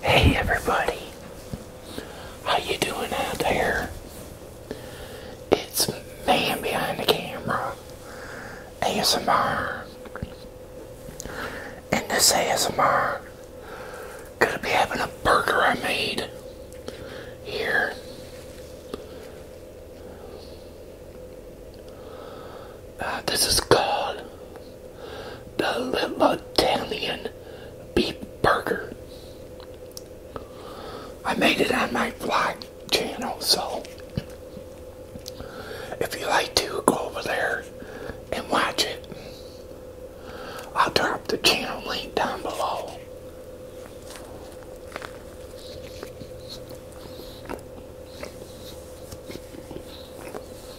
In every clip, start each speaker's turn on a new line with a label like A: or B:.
A: Hey everybody, how you doing out there? It's man behind the camera, ASMR, and this ASMR gonna be having a burger I made here. Uh, this is called the Little Beef Burger. I made it on my fly channel, so if you like to, go over there and watch it. I'll drop the channel link down below.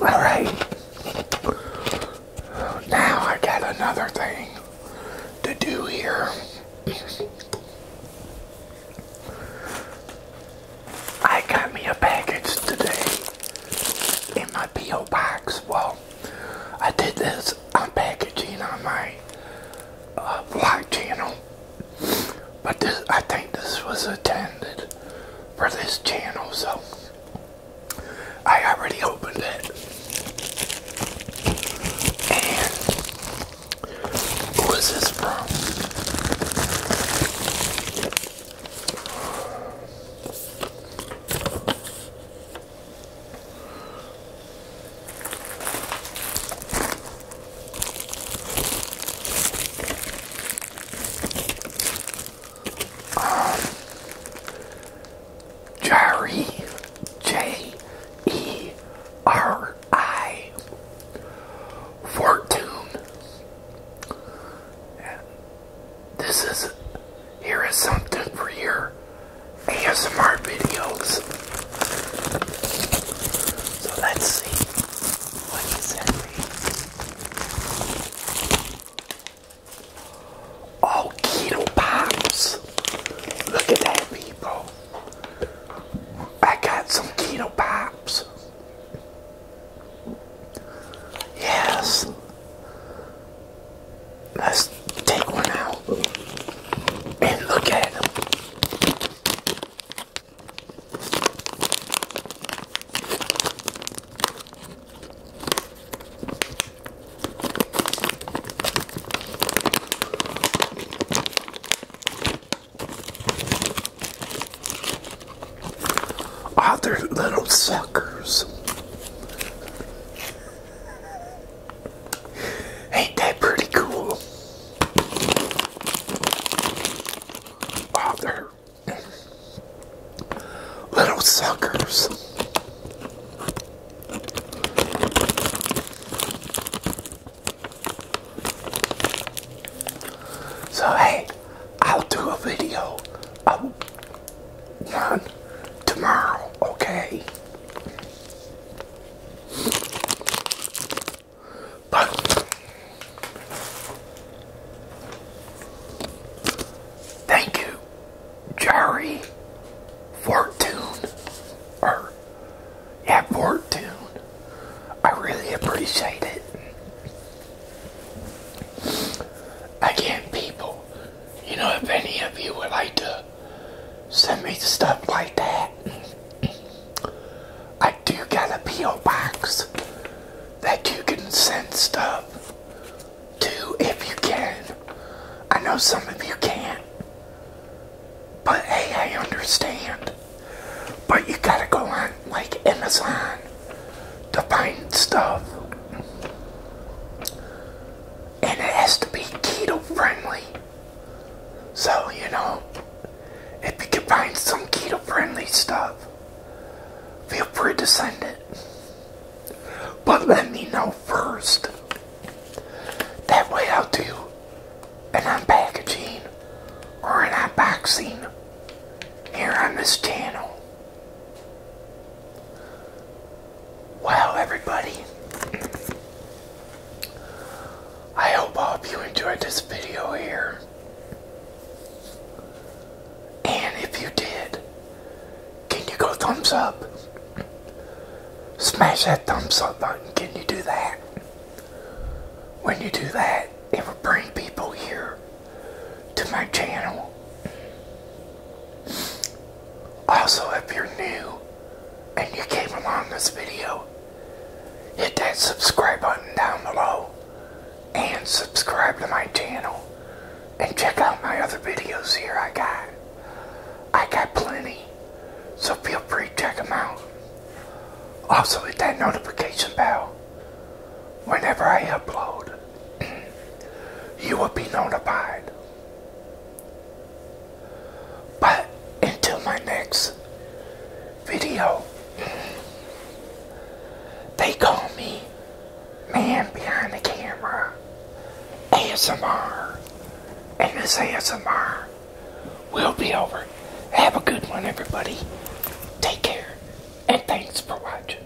A: All right. Now I got another thing to do here. I got me a package today in my P.O. box. Well, I did this unpackaging on my vlog uh, channel, but this, I think this was intended for this channel, so I already opened it. And who is this from? Jerry J E R I Fortune. this is here is something for you. ASMR videos. So let's see what he sent me. Oh, keto pops. Look at that, people. I got some keto pops. Yes. Let's take one out and look at them. Other little suckers. Ain't that pretty cool? Oh, little suckers. So, hey, I'll do a video of one tomorrow, okay? But thank you, Jari Fortune. Or yeah, Fortune. I really appreciate it. Again, people, you know, if any of you would like to send me stuff like that, I do got a P.O. box that you can send stuff to if you can. I know some of you can't, but hey, I understand. But you gotta go on like Amazon to find stuff. And it has to be keto friendly. So, you know, if you can find some keto friendly stuff, feel free to send it. But let me know first. That way I'll do an unpackaging or an unboxing here on this channel. Wow, everybody. I hope all of you enjoyed this video here. And if you did, can you go thumbs up? Smash that thumbs up button. Can you do that? When you do that, it will bring people here to my channel. Also, if you're new and you came along this video, hit that subscribe button down below and subscribe to my channel and check out my other videos here I got. I got plenty, so feel free to check them out. Also, hit that notification bell. Whenever I upload, you will be notified. But until my next video, they call me Man Behind the Camera ASMR. And this ASMR will be over. Have a good one, everybody. Take care. And thanks for watching.